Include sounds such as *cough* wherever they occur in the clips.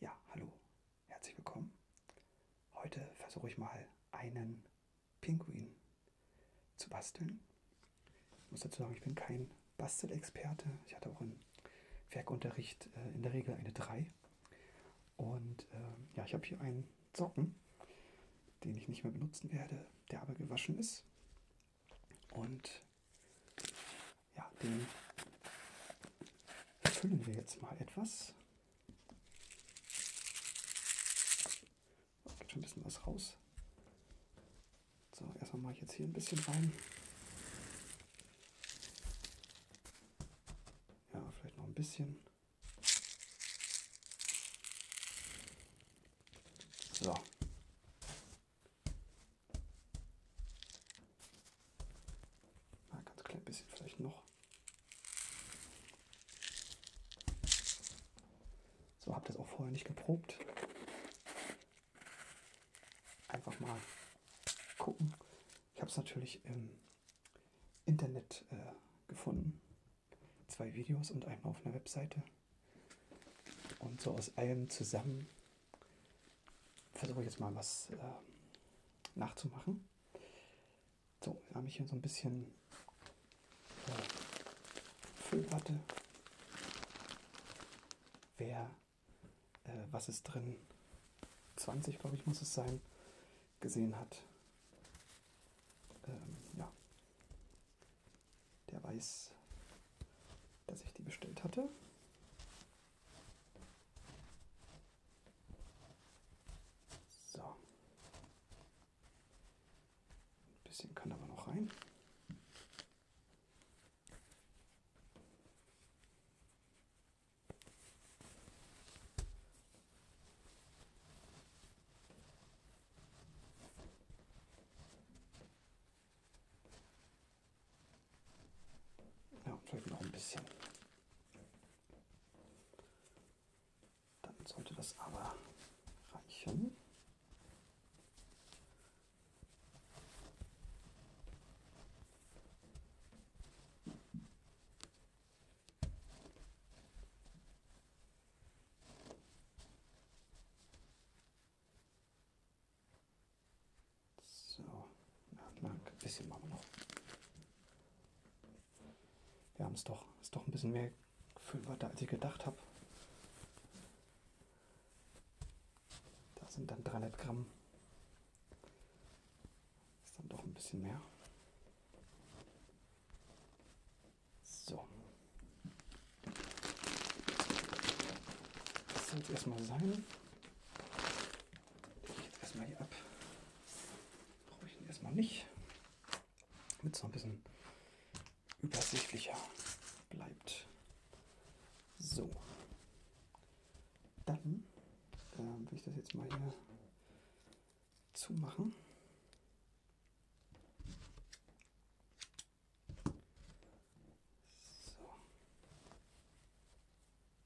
Ja, hallo, herzlich willkommen. Heute versuche ich mal einen Pinguin zu basteln. Ich muss dazu sagen, ich bin kein Bastelexperte. Ich hatte auch im Werkunterricht äh, in der Regel eine 3. Und äh, ja, ich habe hier einen Socken, den ich nicht mehr benutzen werde, der aber gewaschen ist. Und ja, den füllen wir jetzt mal etwas. Oh, geht schon ein bisschen was raus. So, erstmal mache ich jetzt hier ein bisschen rein. Ja, vielleicht noch ein bisschen. So. Ein ah, ganz klein bisschen vielleicht noch. So, habt ihr es auch vorher nicht geprobt. Einfach mal gucken. Ich habe es natürlich im Internet äh, gefunden. Zwei Videos und einmal auf einer Webseite. Und so aus allem zusammen versuche jetzt mal was äh, nachzumachen. So, dann habe ich hier so ein bisschen äh, Füllwatte. Wer, äh, was ist drin? 20, glaube ich, muss es sein, gesehen hat. Ähm, ja. Der weiß, dass ich die bestellt hatte. So. Ein bisschen kann aber noch rein. Ja, vielleicht noch ein bisschen. Dann sollte das aber reichen. So, na, ein bisschen machen wir noch. Wir haben es doch, ist doch ein bisschen mehr Füllwörter, als ich gedacht habe. Da sind dann 300 Gramm. Ist dann doch ein bisschen mehr. So. Das soll es erstmal sein ich erstmal hier ab. Brauche ich ihn erstmal nicht. Damit es noch ein bisschen übersichtlicher bleibt. So. Dann äh, will ich das jetzt mal hier zumachen. So.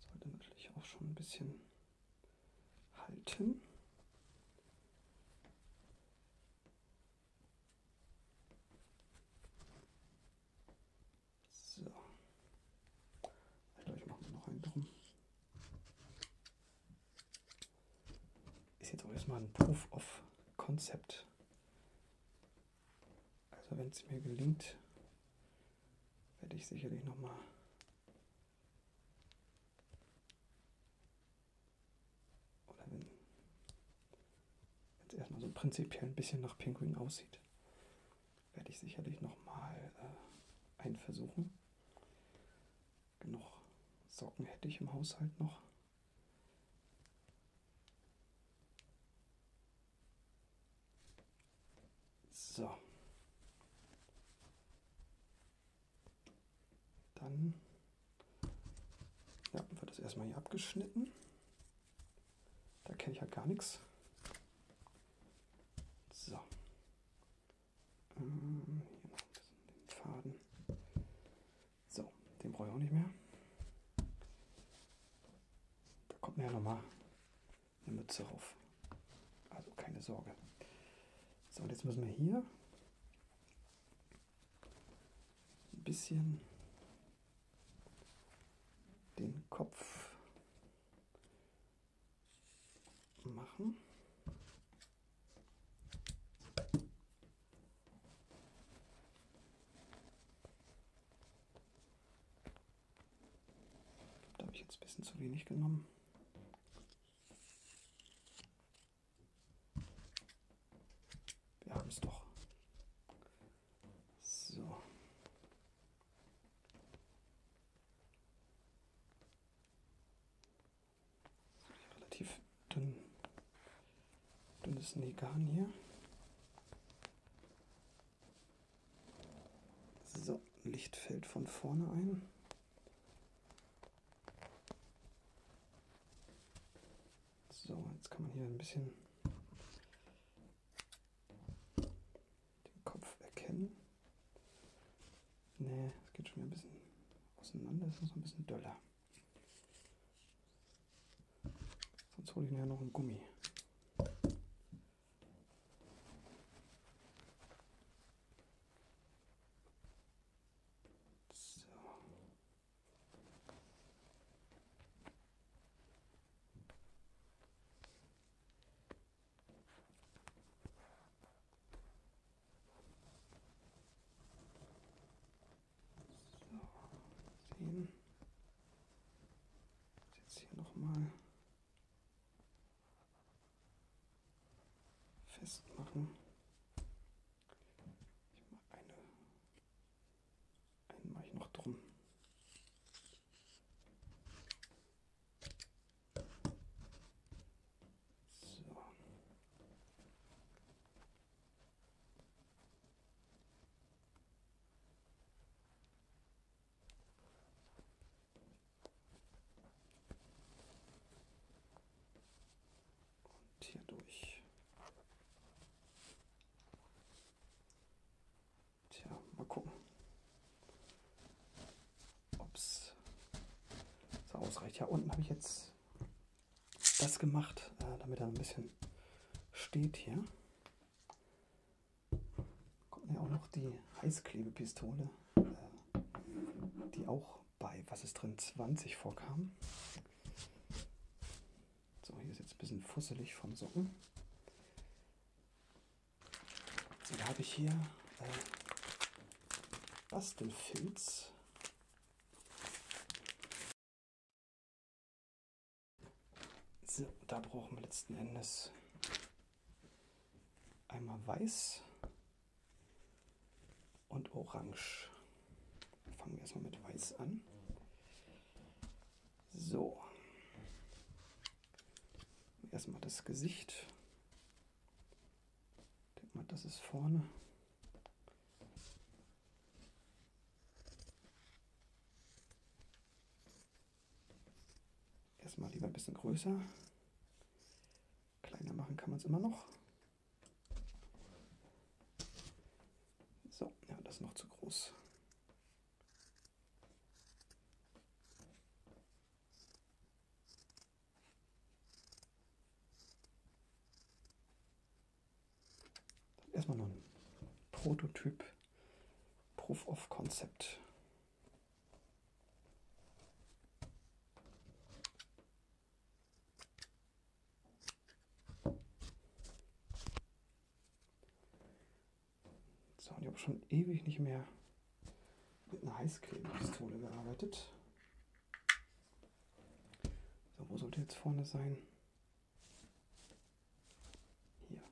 Sollte natürlich auch schon ein bisschen halten. So. Also ich mache noch einen drum. Ist jetzt auch erstmal ein Proof of Concept. Also wenn es mir gelingt, werde ich sicherlich nochmal oder wenn es erstmal so prinzipiell ein bisschen nach Pinguin aussieht, werde ich sicherlich nochmal äh, einen versuchen. Genug Socken hätte ich im Haushalt noch. So. Dann ja, wird das erstmal hier abgeschnitten. Da kenne ich ja halt gar nichts. So. Ähm, hier noch ein bisschen den Faden. So, den brauche ich auch nicht mehr. Da kommt mir ja nochmal eine Mütze auf. Also keine Sorge. So, und jetzt müssen wir hier ein bisschen den Kopf machen. Da habe ich jetzt ein bisschen zu wenig genommen. Wir haben es doch. So. Relativ dünn, dünnes Negan hier. So, Licht fällt von vorne ein. So, jetzt kann man hier ein bisschen den Kopf erkennen. Ne, es geht schon wieder ein bisschen auseinander, es ist noch ein bisschen döller. Sonst hole ich mir ja noch einen Gummi. So. So, sehen. Jetzt hier nochmal. mal festmachen. Ich mache eine, einen mache ich noch drum. So. Und hier durch. Tja, mal gucken, ob es so ausreicht. Ja, unten habe ich jetzt das gemacht, äh, damit er ein bisschen steht hier kommt ja auch noch die Heißklebepistole, äh, die auch bei, was ist drin, 20 vorkam. So, hier ist jetzt ein bisschen fusselig vom Socken. So, da habe ich hier äh, Bastelfilz. So, da brauchen wir letzten Endes Einmal weiß und orange. Fangen wir erstmal mit weiß an. So. Erstmal das Gesicht. Ich denke mal, das ist vorne. Erstmal lieber ein bisschen größer. Kleiner machen kann man es immer noch. So, ja, das ist noch zu groß. Dann erstmal noch ein Prototyp Proof of Concept. So, und ich habe schon ewig nicht mehr mit einer Heißklebepistole gearbeitet. So, wo sollte jetzt vorne sein? Hier.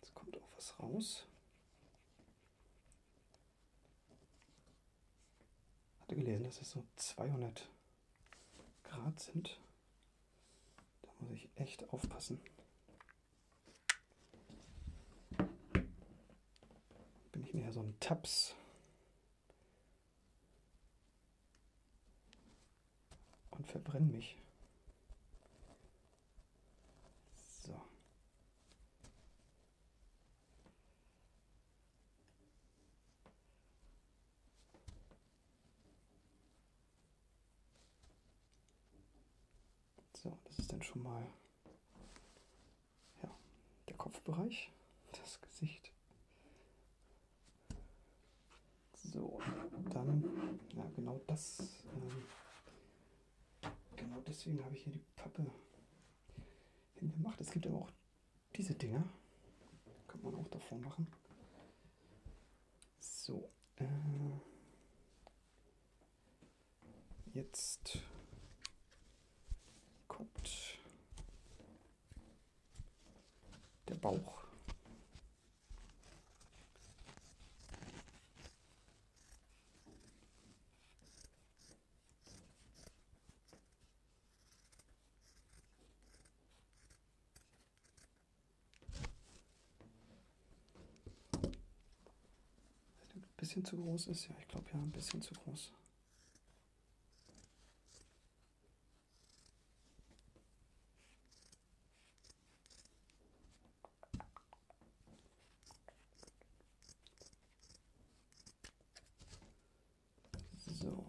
Jetzt kommt auch was raus. Hatte gelesen, dass es so 200 Grad sind. Da muss ich echt aufpassen. Bin ich mehr so ein Taps. Und verbrenne mich. So. So, das ist dann schon mal ja, der Kopfbereich, das Gesicht. So, dann, ja, genau das, ähm, genau deswegen habe ich hier die Pappe hingemacht. Es gibt aber auch diese Dinger, kann man auch davor machen. So, äh, jetzt kommt der Bauch. Ein bisschen zu groß ist, ja, ich glaube ja, ein bisschen zu groß. So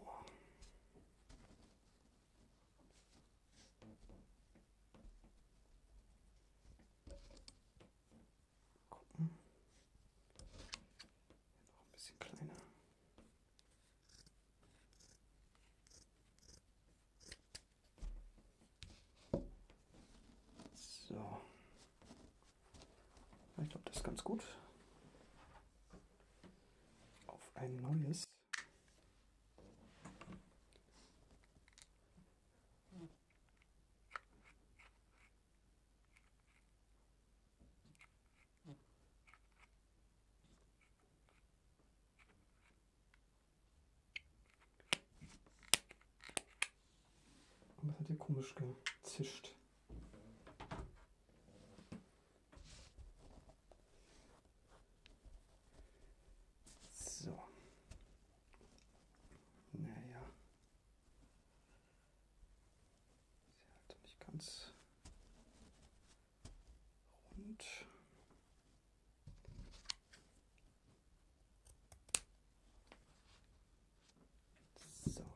gucken. Noch ein bisschen kleiner. So. Ich glaube, das ist ganz gut. Auf ein neues. Aber es hat hier komisch gezischt. So. Naja. Ist ja also nicht ganz rund. So.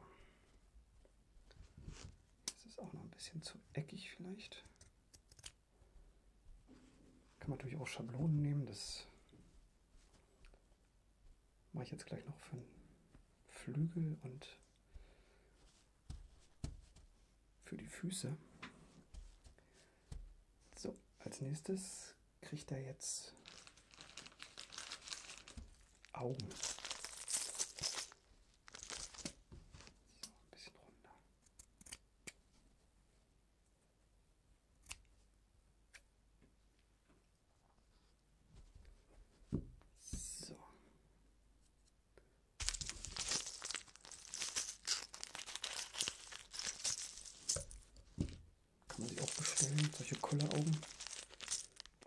Das ist auch noch ein bisschen zu eckig vielleicht. Kann man natürlich auch Schablonen nehmen, das Mache ich jetzt gleich noch für einen Flügel und für die Füße. So, als nächstes kriegt er jetzt Augen. So, ein bisschen runter. So. Kann man sich auch bestellen, solche Kulleraugen.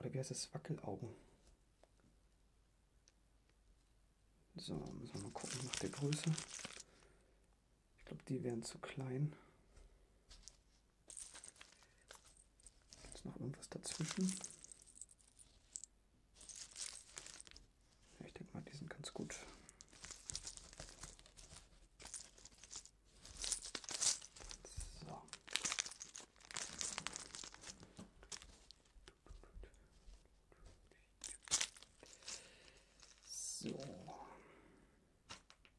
Oder wie heißt das? Wackelaugen. So, müssen wir mal gucken nach der Größe. Ich glaube, die wären zu klein. Ist noch irgendwas dazwischen? Ja, ich denke mal, die sind ganz gut. So. So.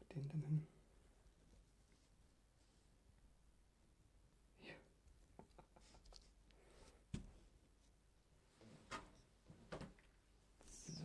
Machen wir den denn hin? Ja. So.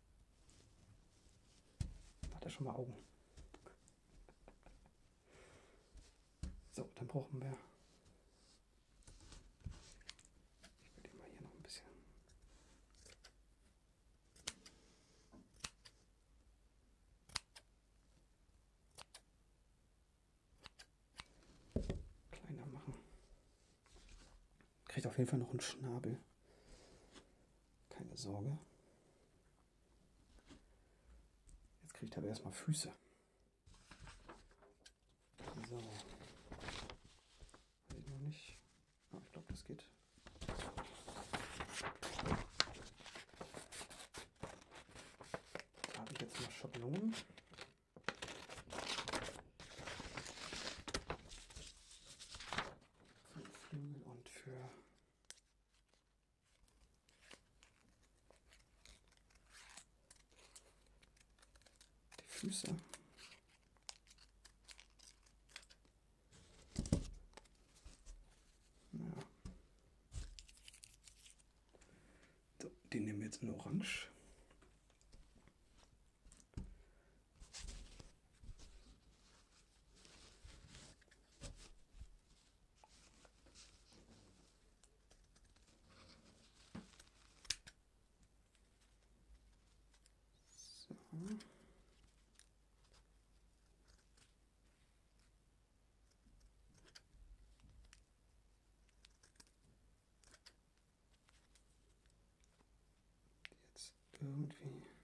Hat er schon mal Augen? So, dann brauchen wir. Ich will den mal hier noch ein bisschen. kleiner machen. Kriegt auf jeden Fall noch einen Schnabel. Keine Sorge. Jetzt kriegt er aber erstmal Füße. So. Weiß ich noch nicht. Aber ah, ich glaube, das geht. Da habe ich jetzt noch Schablonen. Flügel und für die Füße. Ja. So, die nehmen wir jetzt in Orange. So. Jetzt irgendwie.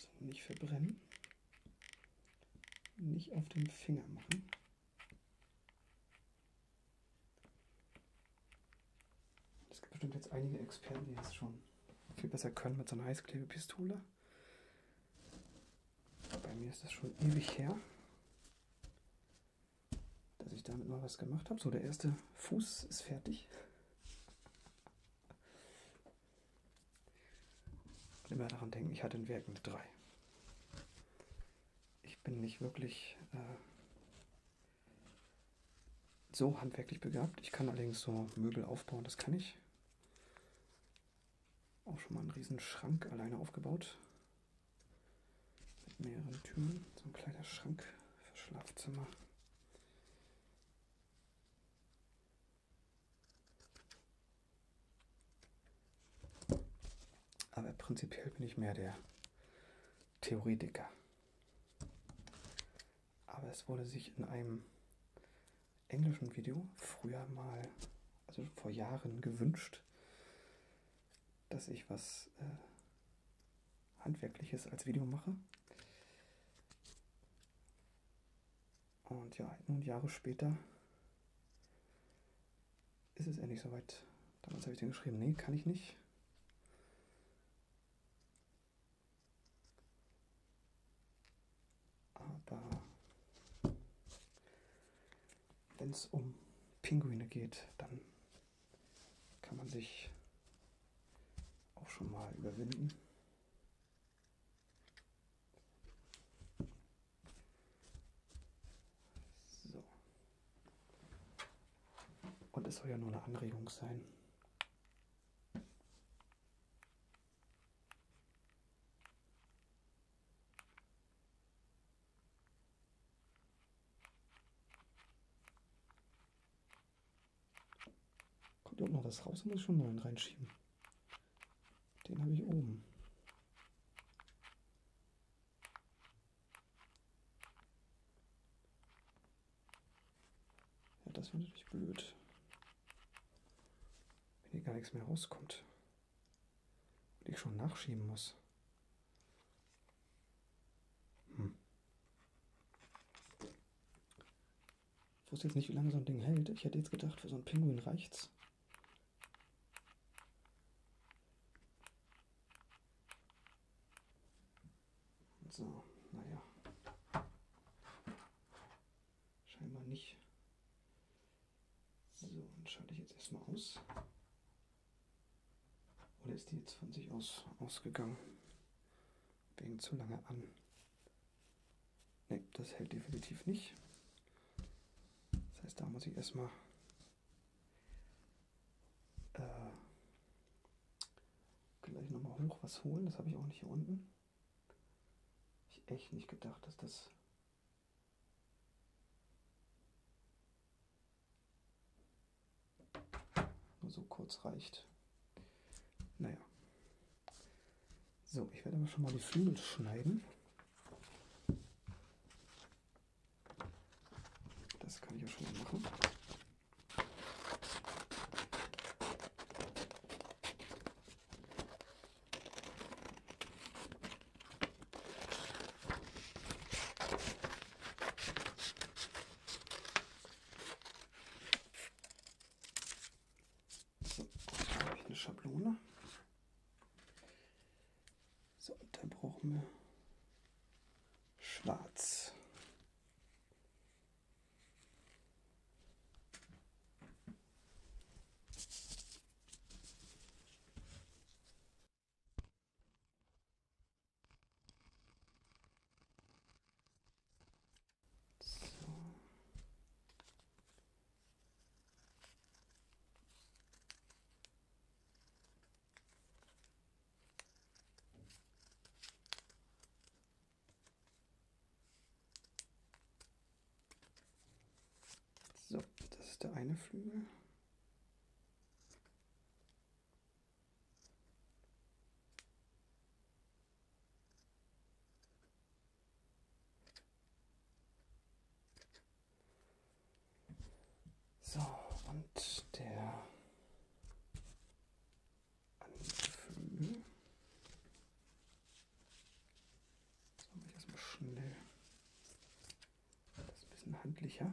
So, nicht verbrennen. Nicht auf den Finger machen. Es gibt bestimmt jetzt einige Experten, die das schon viel besser können mit so einer Heißklebepistole. Bei mir ist das schon ewig her dass ich damit mal was gemacht habe. So, der erste Fuß ist fertig. Und immer daran denken, ich hatte in Werk eine 3. Ich bin nicht wirklich äh, so handwerklich begabt. Ich kann allerdings so Möbel aufbauen, das kann ich. Auch schon mal einen riesen Schrank alleine aufgebaut. Mit mehreren Türen, so ein kleiner Schrank für Schlafzimmer. Aber prinzipiell bin ich mehr der Theoretiker. Aber es wurde sich in einem englischen Video früher mal, also vor Jahren gewünscht, dass ich was äh, Handwerkliches als Video mache. Und ja, nun Jahre später ist es endlich soweit. Damals habe ich den geschrieben, nee, kann ich nicht. Aber wenn es um Pinguine geht, dann kann man sich auch schon mal überwinden. So. Und es soll ja nur eine Anregung sein. Kommt hier unten noch was raus? Ich muss schon neuen reinschieben. Den habe ich oben. Ja, das wäre natürlich blöd. Wenn hier gar nichts mehr rauskommt. Und ich schon nachschieben muss. Hm. Ich wusste jetzt nicht, wie lange so ein Ding hält. Ich hätte jetzt gedacht, für so einen Pinguin reicht's. So, naja. Scheinbar nicht. So, dann schalte ich jetzt erstmal aus. Oder ist die jetzt von sich aus ausgegangen? Wegen zu lange an. Ne, das hält definitiv nicht. Das heißt, da muss ich erstmal äh, gleich nochmal hoch was holen. Das habe ich auch nicht hier unten. Ich echt nicht gedacht, dass das nur so kurz reicht. Naja. So, ich werde aber schon mal die Flügel schneiden. Das kann ich ja schon mal machen. So, da habe ich eine Schablone. So, da brauchen wir schwarz. So. So, das ist der eine Flügel. So, und der Anflügel. So, ich erstmal schnell. Das ist ein bisschen handlicher.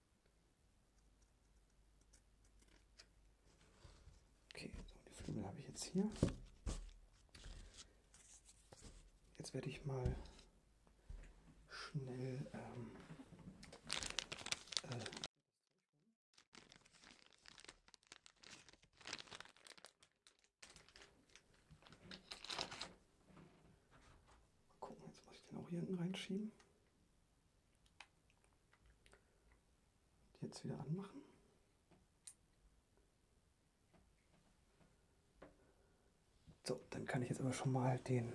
Okay, so die Flügel habe ich jetzt hier. Jetzt werde ich mal schnell ähm, äh, gucken, jetzt muss ich den auch hier hinten reinschieben. Jetzt wieder anmachen. So, dann kann ich jetzt aber schon mal den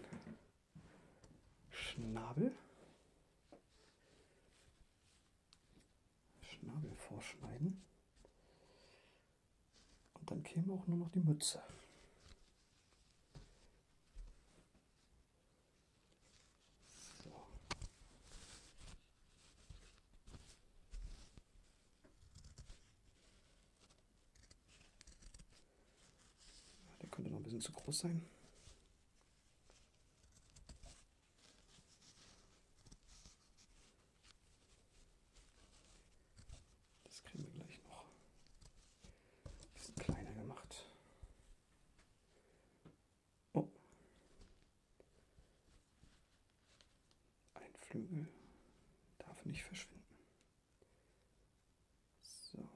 Schnabel, Schnabel vorschneiden. Und dann käme auch nur noch die Mütze. So. Der könnte noch ein bisschen zu groß sein. Das kriegen wir gleich noch ein bisschen kleiner gemacht. Oh. Ein Flügel darf nicht verschwinden. So.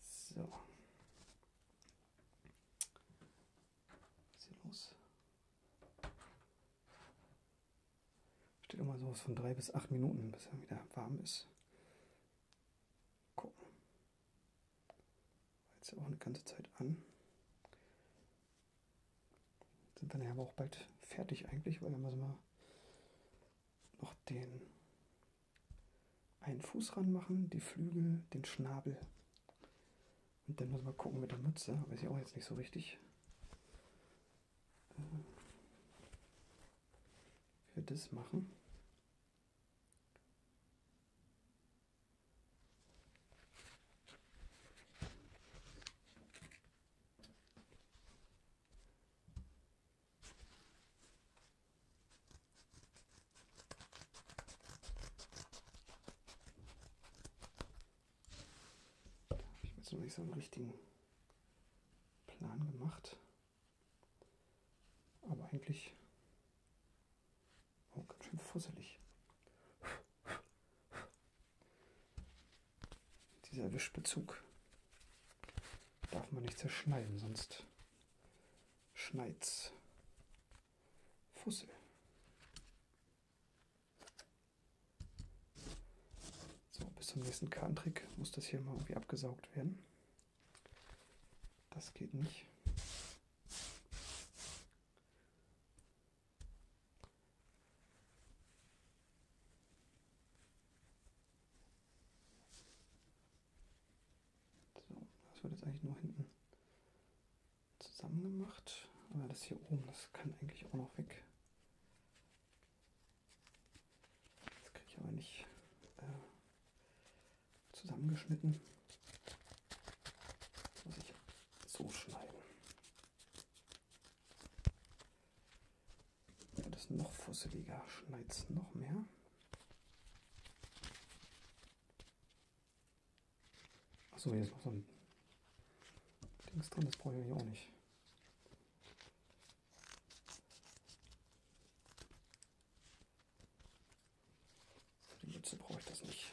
So. Was ist hier los? Steht immer so was von drei bis acht Minuten, bis er wieder warm ist. Gucken. Jetzt auch eine ganze Zeit an. Sind wir ja aber auch bald fertig eigentlich, weil dann müssen wir noch den einen Fuß ranmachen, die Flügel, den Schnabel. Und dann müssen wir gucken mit der Mütze, weiß ich auch jetzt nicht so richtig. Für äh, das machen. Da habe ich mir jetzt noch nicht so einen richtigen Plan gemacht. Aber eigentlich auch ganz schön fusselig. Dieser Wischbezug darf man nicht zerschneiden, sonst schneit's. Fussel. So, bis zum nächsten Kartentrick muss das hier mal irgendwie abgesaugt werden. Das geht nicht. So, das wird jetzt eigentlich nur hinten zusammen gemacht. Aber das hier oben, das kann eigentlich auch noch weg. Das kriege ich aber nicht äh, zusammengeschnitten. Das muss ich so schneiden. Ja, das ist noch fusseliger. Schneit es noch mehr. Achso, hier ist noch so ein Dings drin. Das brauche ich auch nicht. Für die Mütze brauche ich das nicht.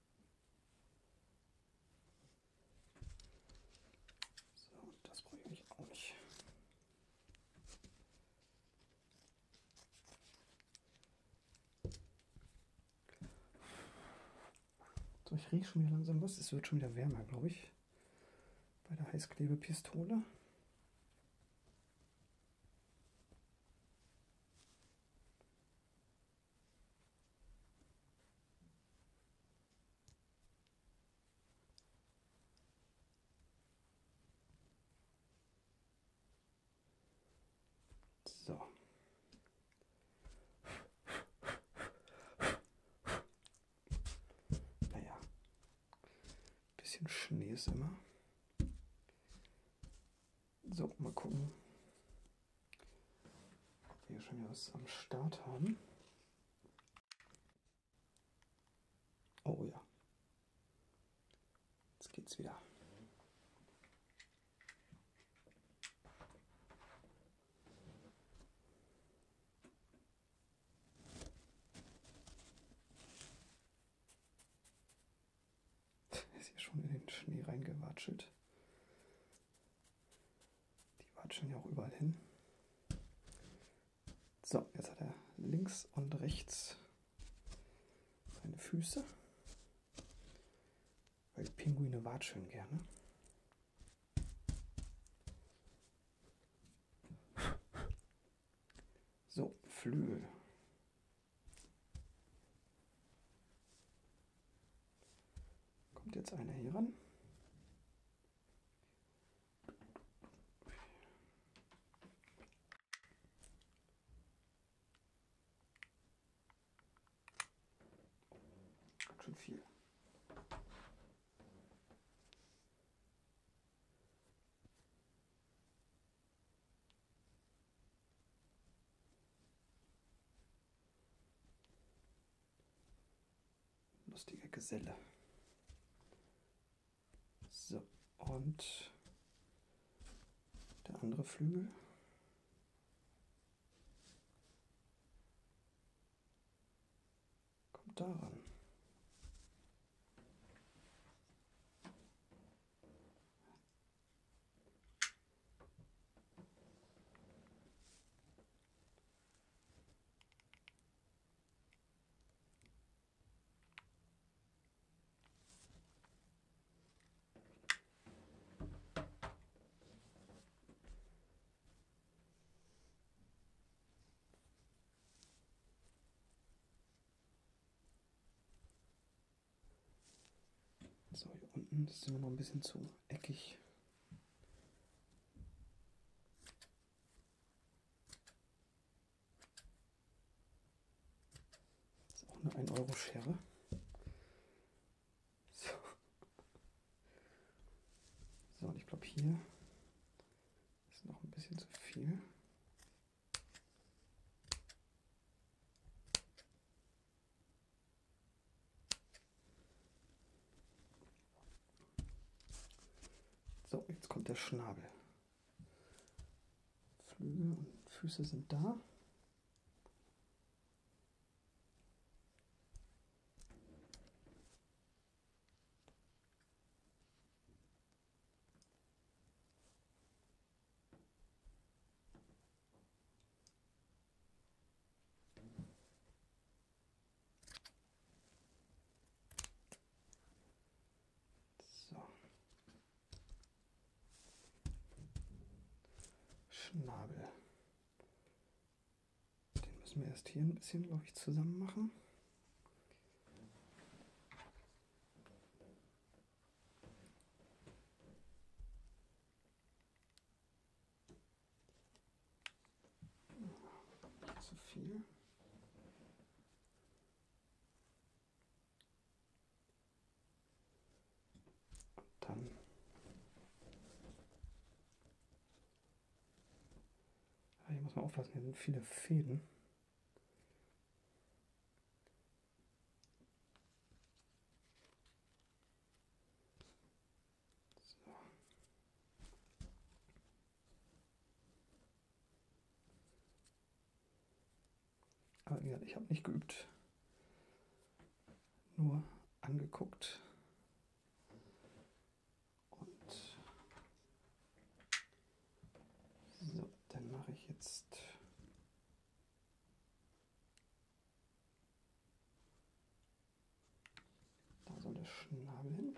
So, das brauche ich nämlich auch nicht. So, ich rieche schon wieder langsam was. Es wird schon wieder wärmer, glaube ich. Bei der Heißklebepistole. So. Naja. Bisschen Schnee ist immer. So, mal gucken. Wir schon wieder was am Start haben. Oh ja. Jetzt geht's wieder. *laughs* ist hier schon in den Schnee reingewatschelt. Die watscheln ja auch überall hin. So, jetzt hat er links und rechts seine Füße. Weil Pinguine watscheln gerne. So, Flügel. Kommt jetzt einer hier ran. Schon viel. Lustiger Geselle. So, und der andere Flügel. Kommt daran. So, hier unten ist immer noch ein bisschen zu eckig. Das ist auch eine 1-Euro-Schere. So. so, und ich glaube hier ist noch ein bisschen zu viel. So, jetzt kommt der Schnabel. Flügel und Füße sind da. So. Schnabel. Den müssen wir erst hier ein bisschen, glaube ich, zusammen machen. Zu viel. Und dann hier ah, muss man aufpassen, hier sind viele Fäden. So. Aber wie gesagt, ich habe nicht geübt, nur angeguckt. Und so, dann mache ich jetzt. Da soll der Schnabel hin.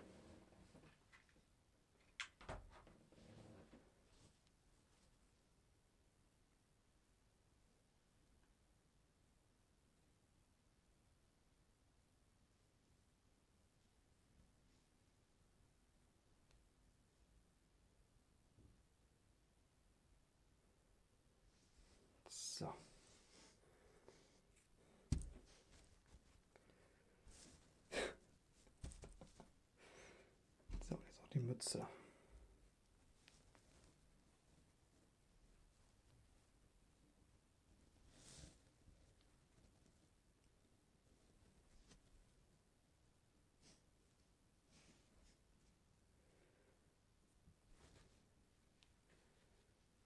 So. So, jetzt auch die Mütze.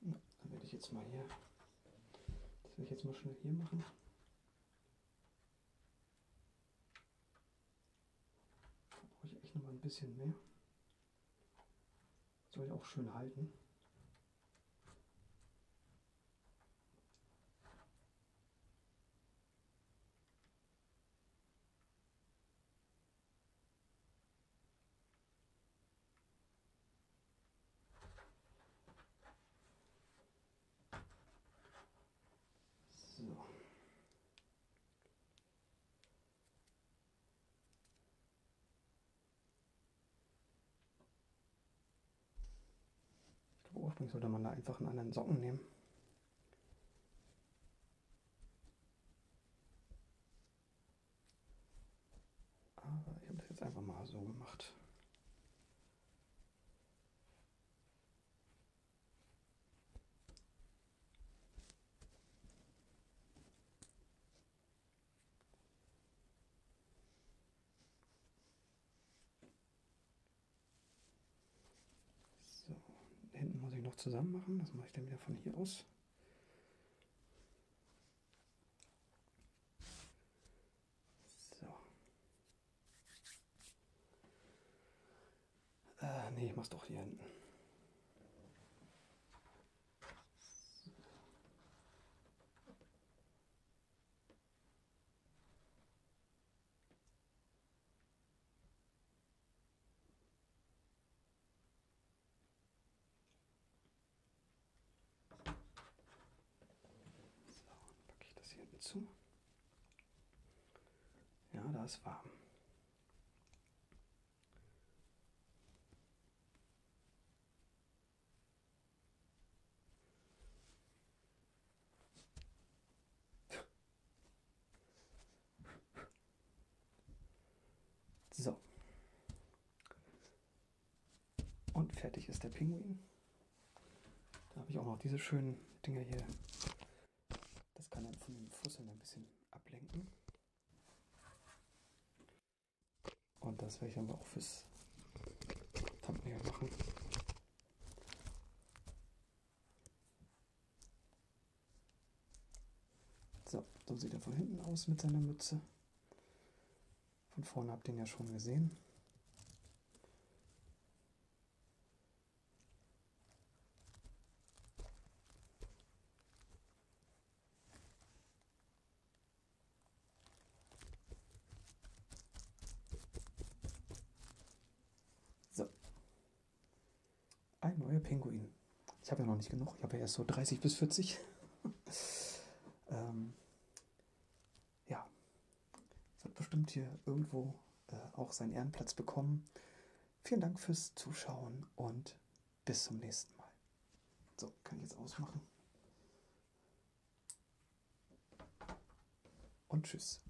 Dann werde ich jetzt mal hier, das werde ich jetzt mal schnell hier machen. Da brauche ich echt noch mal ein bisschen mehr. Das soll ja auch schön halten. So. Ich glaube, ursprünglich sollte man da einfach einen anderen Socken nehmen. Aber ich habe das jetzt einfach mal so gemacht. So, hinten muss ich noch zusammen machen. Das mache ich dann wieder von hier aus. So. Äh, nee, ich mach's doch hier hinten. So, dann packe ich das hier hinten zu. Ja, da ist warm. So. Und fertig ist der Pinguin. Da habe ich auch noch diese schönen Dinger hier. Das kann dann von den Fusseln ein bisschen ablenken. Und das werde ich aber auch fürs Thumbnail machen. So, so sieht er von hinten aus mit seiner Mütze. Von vorne habt ihr ihn ja schon gesehen. So. Ein neuer Pinguin. Ich habe ja noch nicht genug. Ich habe ja erst so 30 bis 40. *laughs* ähm, ja. Wird bestimmt hier irgendwo äh, auch seinen Ehrenplatz bekommen. Vielen Dank fürs Zuschauen und bis zum nächsten Mal. So, kann ich jetzt ausmachen. Und tschüss.